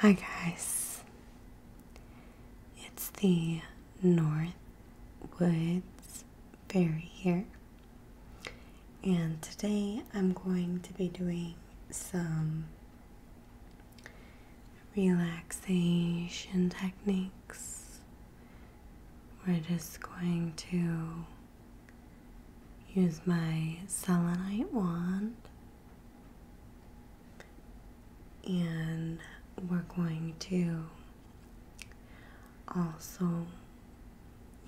Hi, guys. It's the North Woods Fairy here, and today I'm going to be doing some relaxation techniques. We're just going to use my selenite wand and we're going to also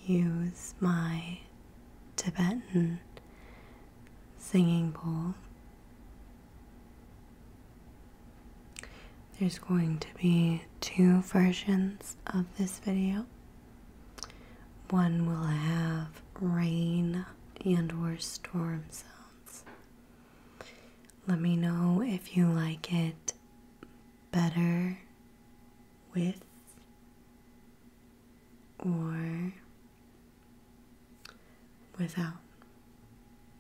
use my Tibetan singing bowl. There's going to be two versions of this video. One will have rain and or storm sounds. Let me know if you like it better with or without.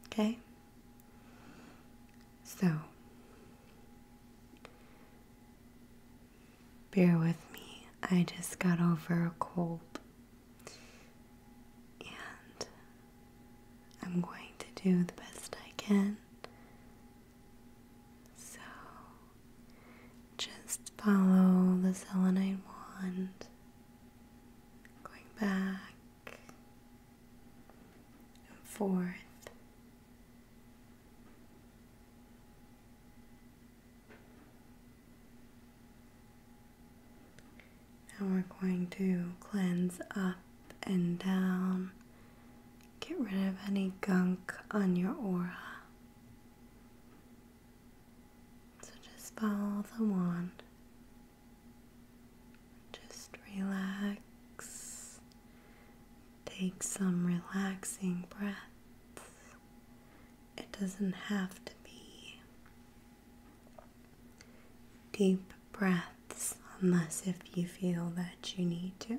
Okay? So, bear with me. I just got over a cold. And I'm going to do the best I can. So, just follow the selenite wand, going back and forth. Now we're going to cleanse up and down. Get rid of any gunk on your aura. So just follow the wand. Just relax. Take some relaxing breaths. It doesn't have to be deep breaths unless if you feel that you need to.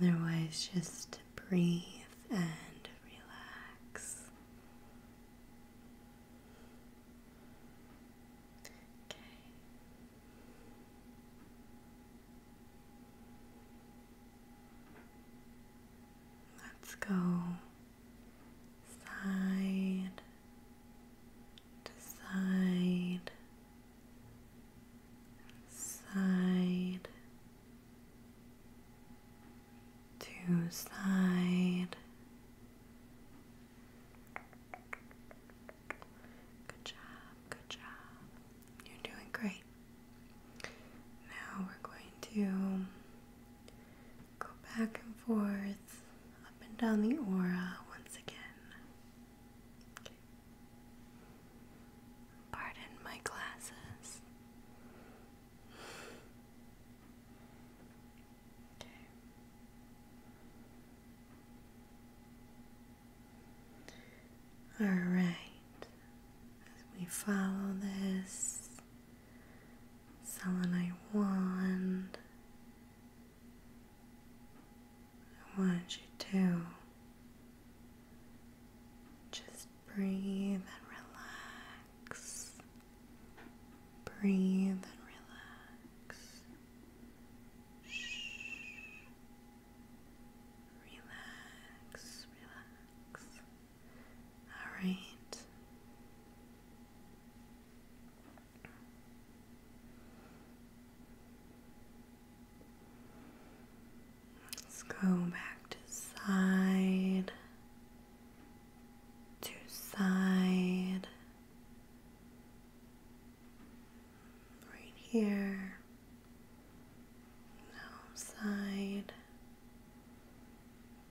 Otherwise, just breathe and relax. Okay. Let's go side to side, side to side. Good job, good job. You're doing great. Now we're going to go back and forth, up and down the aura once again. Pardon my glasses. All right, we follow this selenite wand, I want you to just breathe and relax. Breathe and relax. Shh. Relax, relax. All right. Let's go back to side to side right here. Now side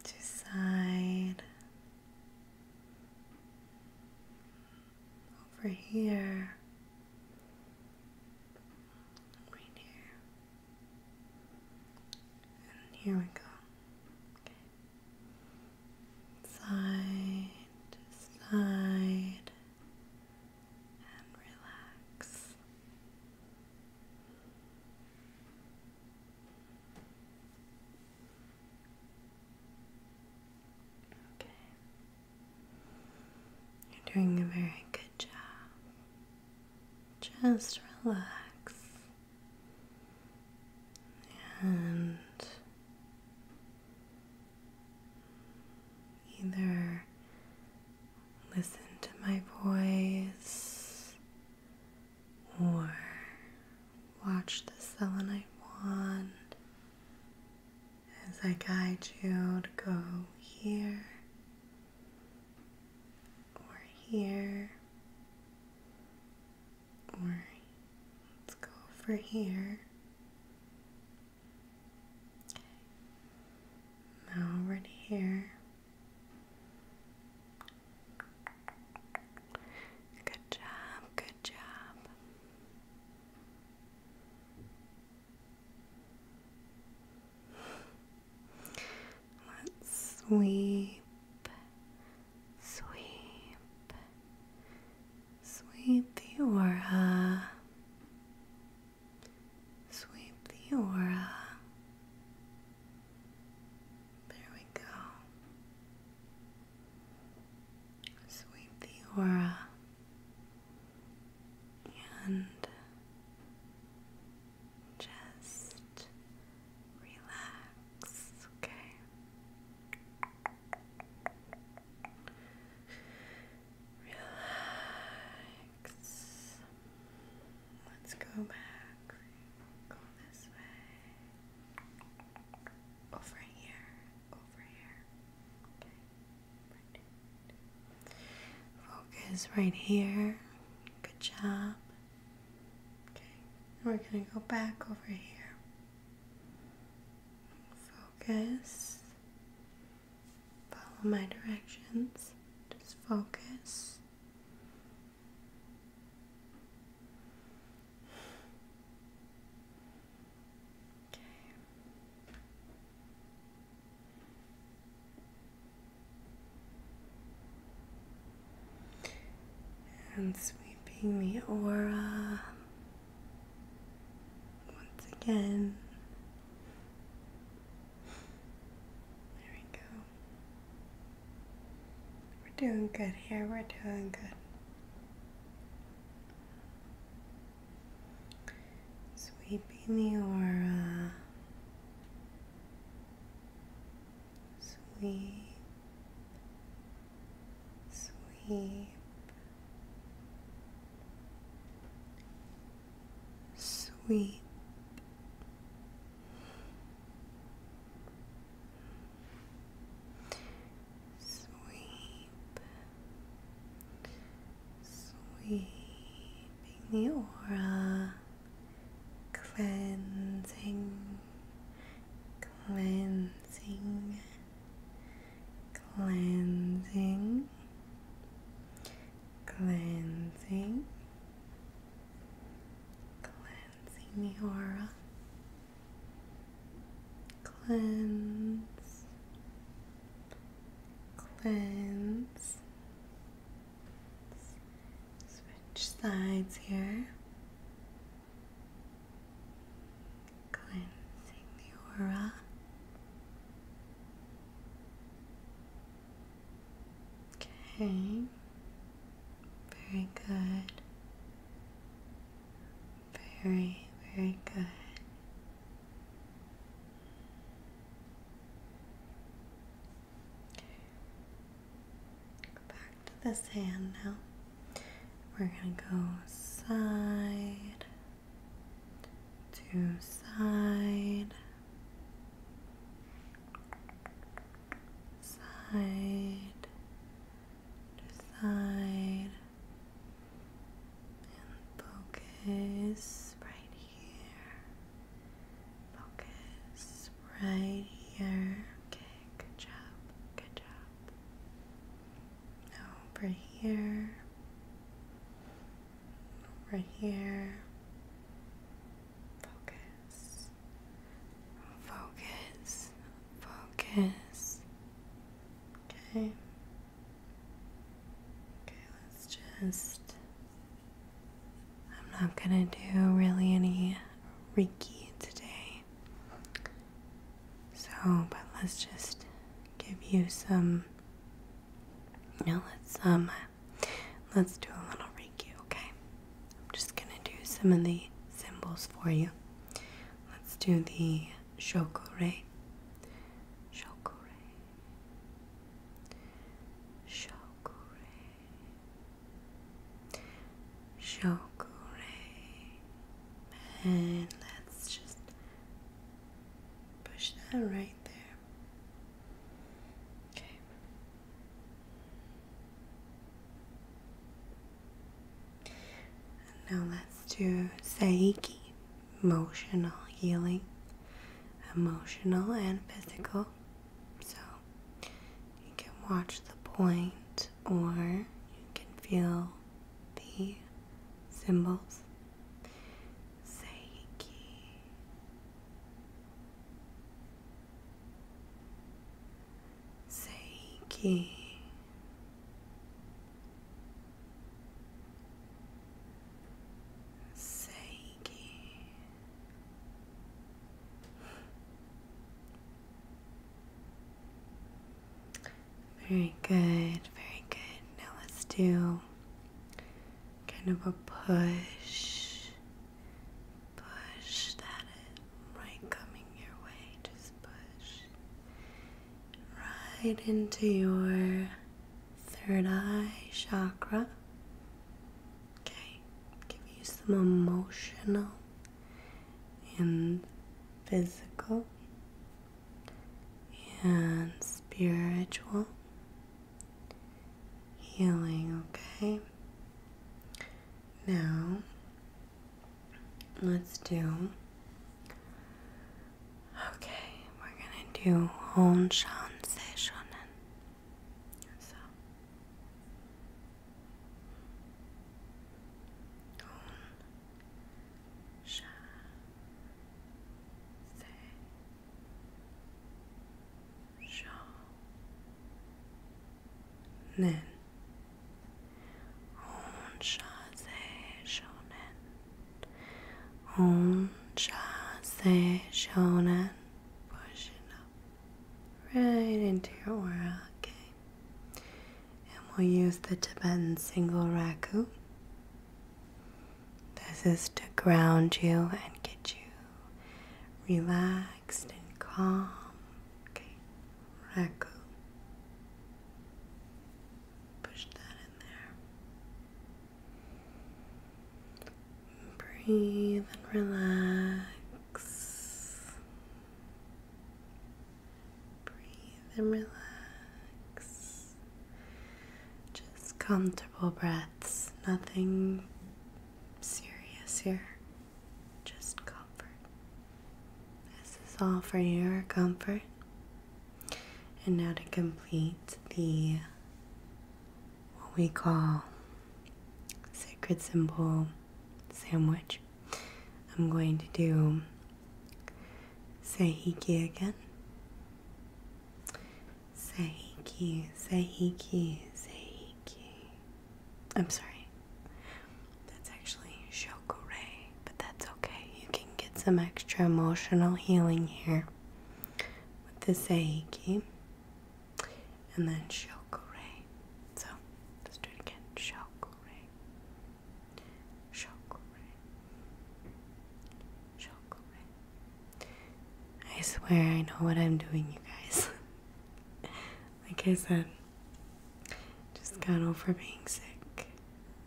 to side over here right here, and here we go. side side, and relax. Okay. You're doing a very good job. Just relax and either listen to my voice or watch the selenite wand as I guide you to go here or here or let's go over here. Okay. Now right here. Good job, good job. Let's sweep, sweep, sweep the aura, sweep the aura. There we go. Sweep the aura and just relax, okay? Relax. Let's go back. Go this way. Over here over here. Focus right here. Good job. Okay. We're going to go back over here. Focus. Follow my directions. Just focus. And sweeping the aura once again. There we go. We're doing good here, we're doing good. Sweeping the aura, sweep, sweep, sweep. Sweep, sweeping the aura, cleansing, cleansing, cleansing, cleansing, cleansing the aura, Cleanse, cleanse, switch sides here, cleansing the aura. Okay, very good. Very, very good. back to this hand now. We're going to go side to side, side to side. And focus right here. Focus right here. Okay, good job. Good job. Over here. Over here. Focus. Focus. Focus. Okay. Okay, let's just. I'm not gonna do really any Reiki today. So, but let's just give you some. You now let's um, let's do a little Reiki, okay? I'm just gonna do some of the symbols for you. Let's do the Shokore, Shokore, Shokore, Shokore, and let's just push that right there. Okay. now let's do Saiki emotional healing, emotional and physical. So you can watch the point or you can feel the symbols. Seiki. Seiki sei que very good, very good. Now let's do kind of a push, push that right coming your way. Just push, right into your third eye chakra. Okay, give you some emotional and physical and spiritual healing, okay? Now, Let's do. Okay, we're gonna do Honshan Seishonen. So. Honshan Seishonen. Om Shonen. Om Shonen. Push up right into your aura, okay? And we'll use the Tibetan single raku. This is to ground you and get you relaxed and calm. Okay, raku. Push that in there. Breathe and relax. Breathe and relax. Just comfortable breaths, nothing serious here. Just comfort. This is all for your comfort. And now to complete the what we call sacred symbol sandwich, I'm going to do say Sahiki again. Say Say Sahiki, Say Sahiki. I'm sorry. That's actually Shokure, but that's okay. You can get some extra emotional healing here with the Seiki and then Shokure. So let's do it again. Shokure. Shokure. Shokure. I swear I know what I'm doing, you guys. like I said, just got over being sick.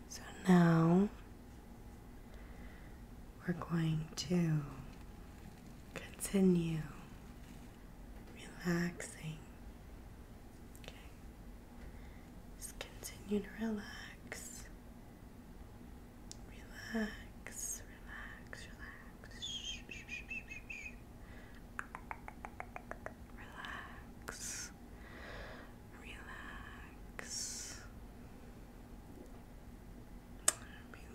So now we're going to continue relaxing. Okay. Just continue to relax. Relax, relax, relax. relax relax,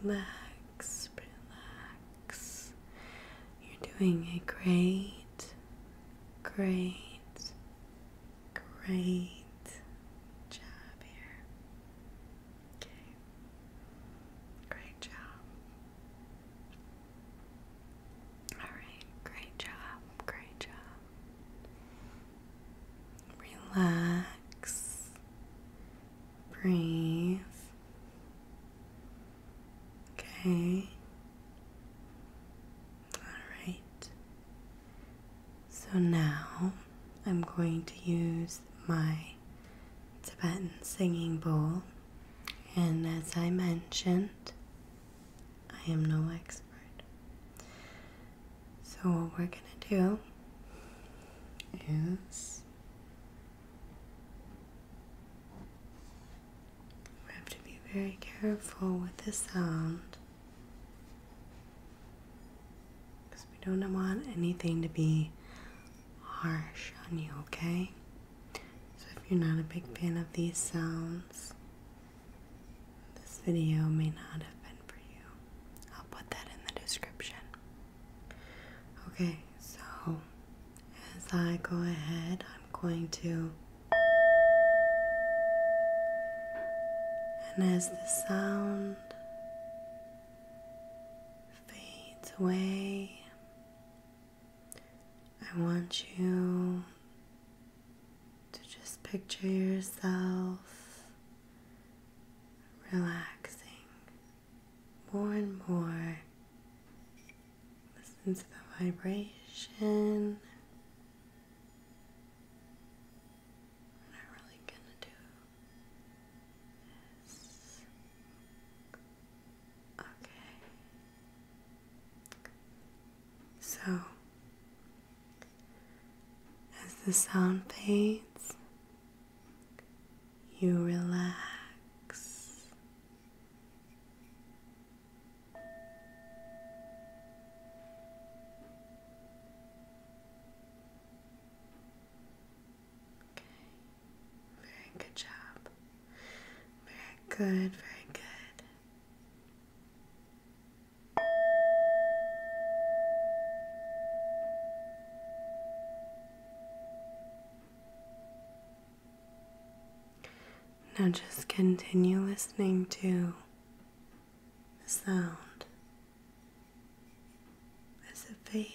relax, relax. You're doing a great, great, great job here. Okay, great job. Alright, great job, great job. Relax, breathe. Okay. Alright. So now I'm going to use my Tibetan singing bowl, and as I mentioned, I am no expert. So, what we're gonna do is we have to be very careful with the sound because we don't want anything to be harsh on you, okay? So if you're not a big fan of these sounds, this video may not have been for you. I'll put that in the description. Okay, so as I go ahead, I'm going to. And as the sound fades away, I want you to just picture yourself relaxing more and more. Listen to the vibration. We're not really gonna do Okay. So, as the sound fades, you relax. Very good job. Very good, very good. Now just continue listening to the sound as it fades.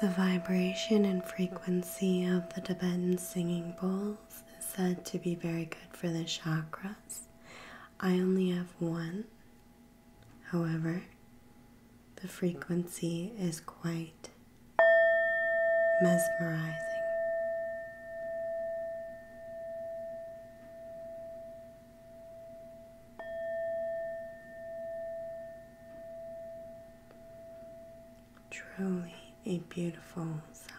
The vibration and frequency of the Tibetan singing bowls is said to be very good for the chakras. I only have one. However, the frequency is quite mesmerizing. Truly a beautiful sound.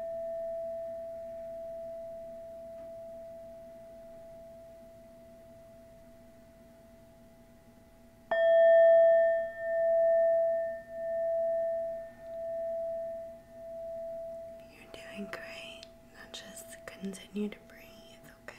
You're doing great. just continue to breathe, okay?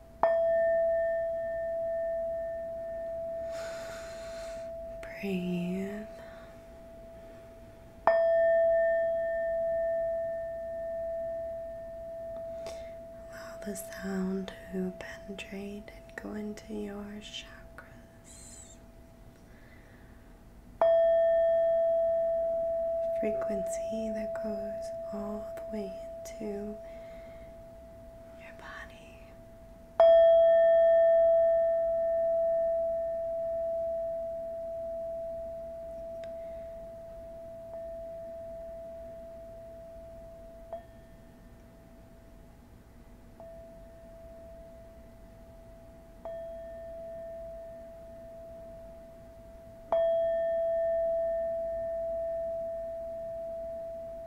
Breathe. Allow the sound to penetrate and go into your chakras. Frequency that goes all the way into your body. Your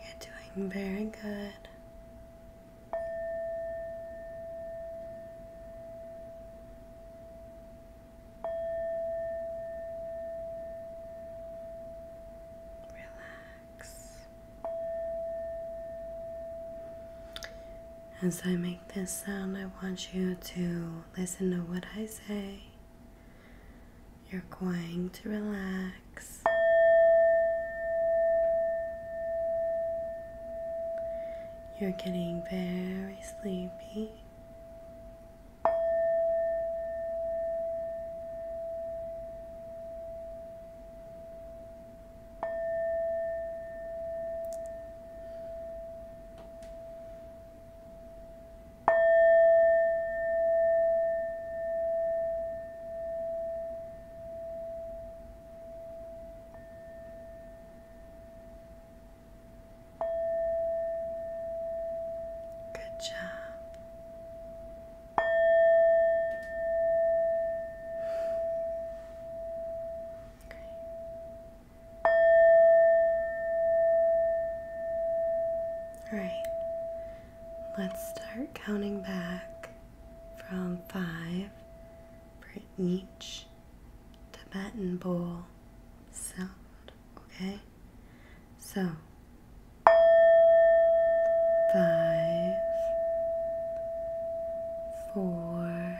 You're doing very good. Relax. As I make this sound, I want you to listen to what I say. You're going to relax. You're getting very sleepy. Good job. Okay. All right, let's start counting back from five for each Tibetan bowl sound, okay? So, five, four,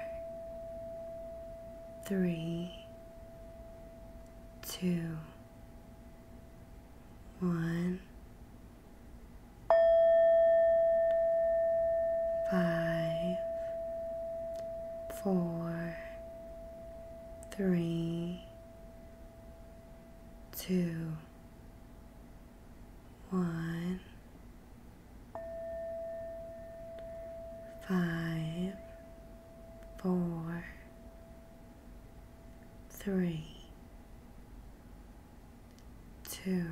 three, two, one, five, four, three, two, one five, four, three, two,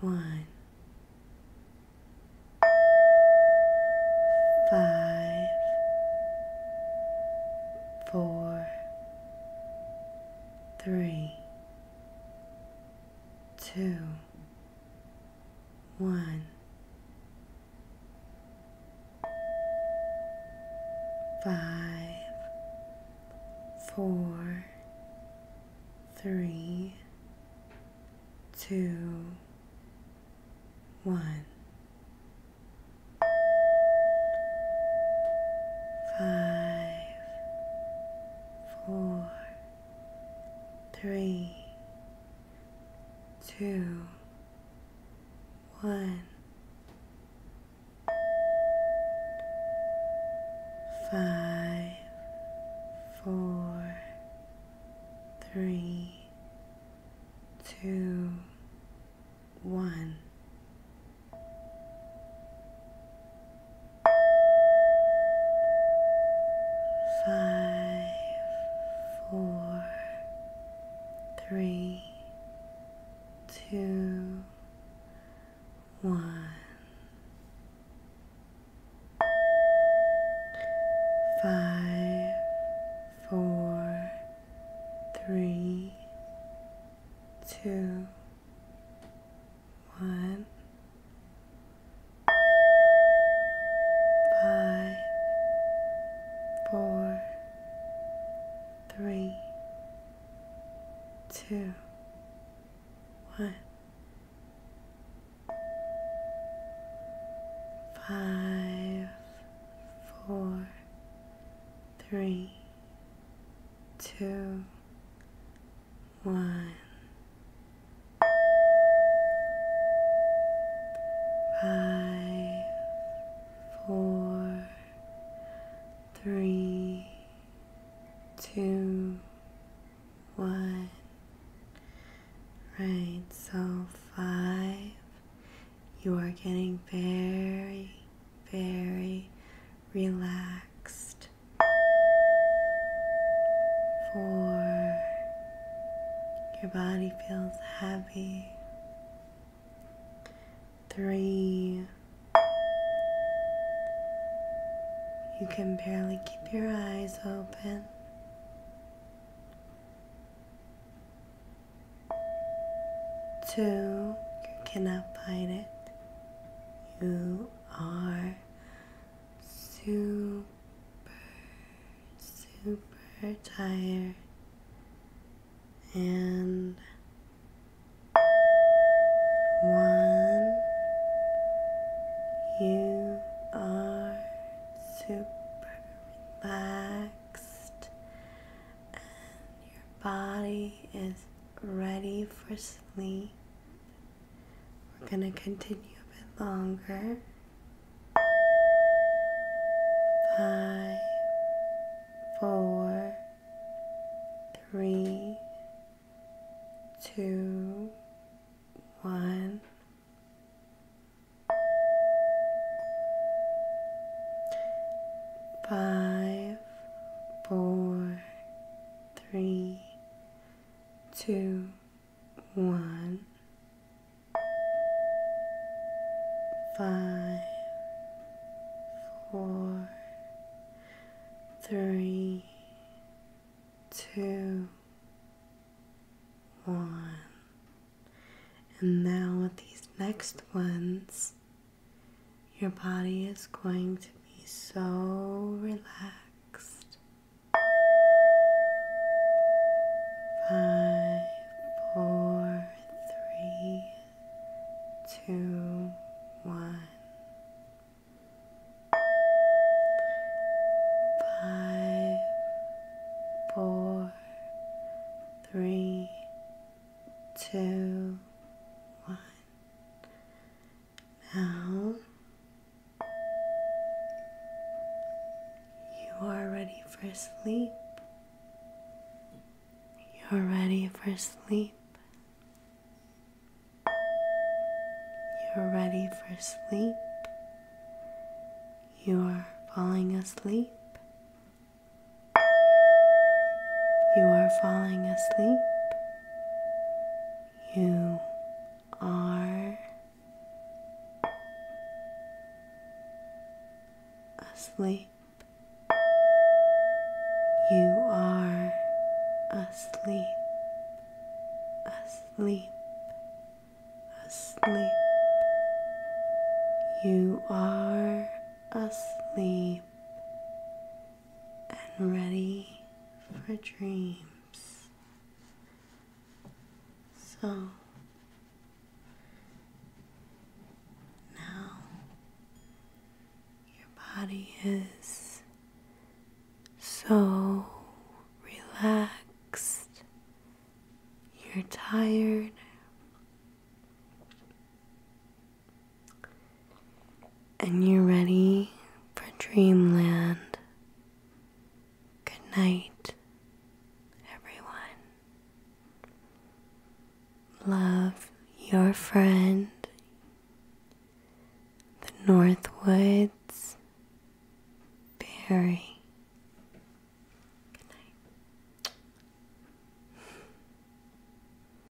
one, five, four, three, two, one, five, four, three, two, one. Five, four, three, two, one, five, four, three, two, one five, four, three, two, one, five, four, three, two. One, five, four, three, two, one, five, four, three, two, one, five, four, three, two, one. Right, so five, you are getting very, very relaxed. Four. Your body feels heavy. Three. You can barely keep your eyes open. Two, you cannot fight it. You are super, super tired and one, you are super relaxed and your body is ready for sleep. We're going to continue a bit longer. Five, four, three, two, one. Five, four, three, two, one, five, four, three, two, one. And now these next ones, your body is going to be so relaxed. Five, four, three, two, one. Five, four, three, two, one. Now you are ready for sleep. You're ready for sleep. You're ready for sleep. You're falling asleep. You are falling asleep. You are asleep. You are asleep, asleep, asleep. You are asleep and ready for dreams. So now your body is so relaxed, you're tired and you're ready for dreamland. Good night, everyone. Love your friend, the Northwoods Barry. Good night.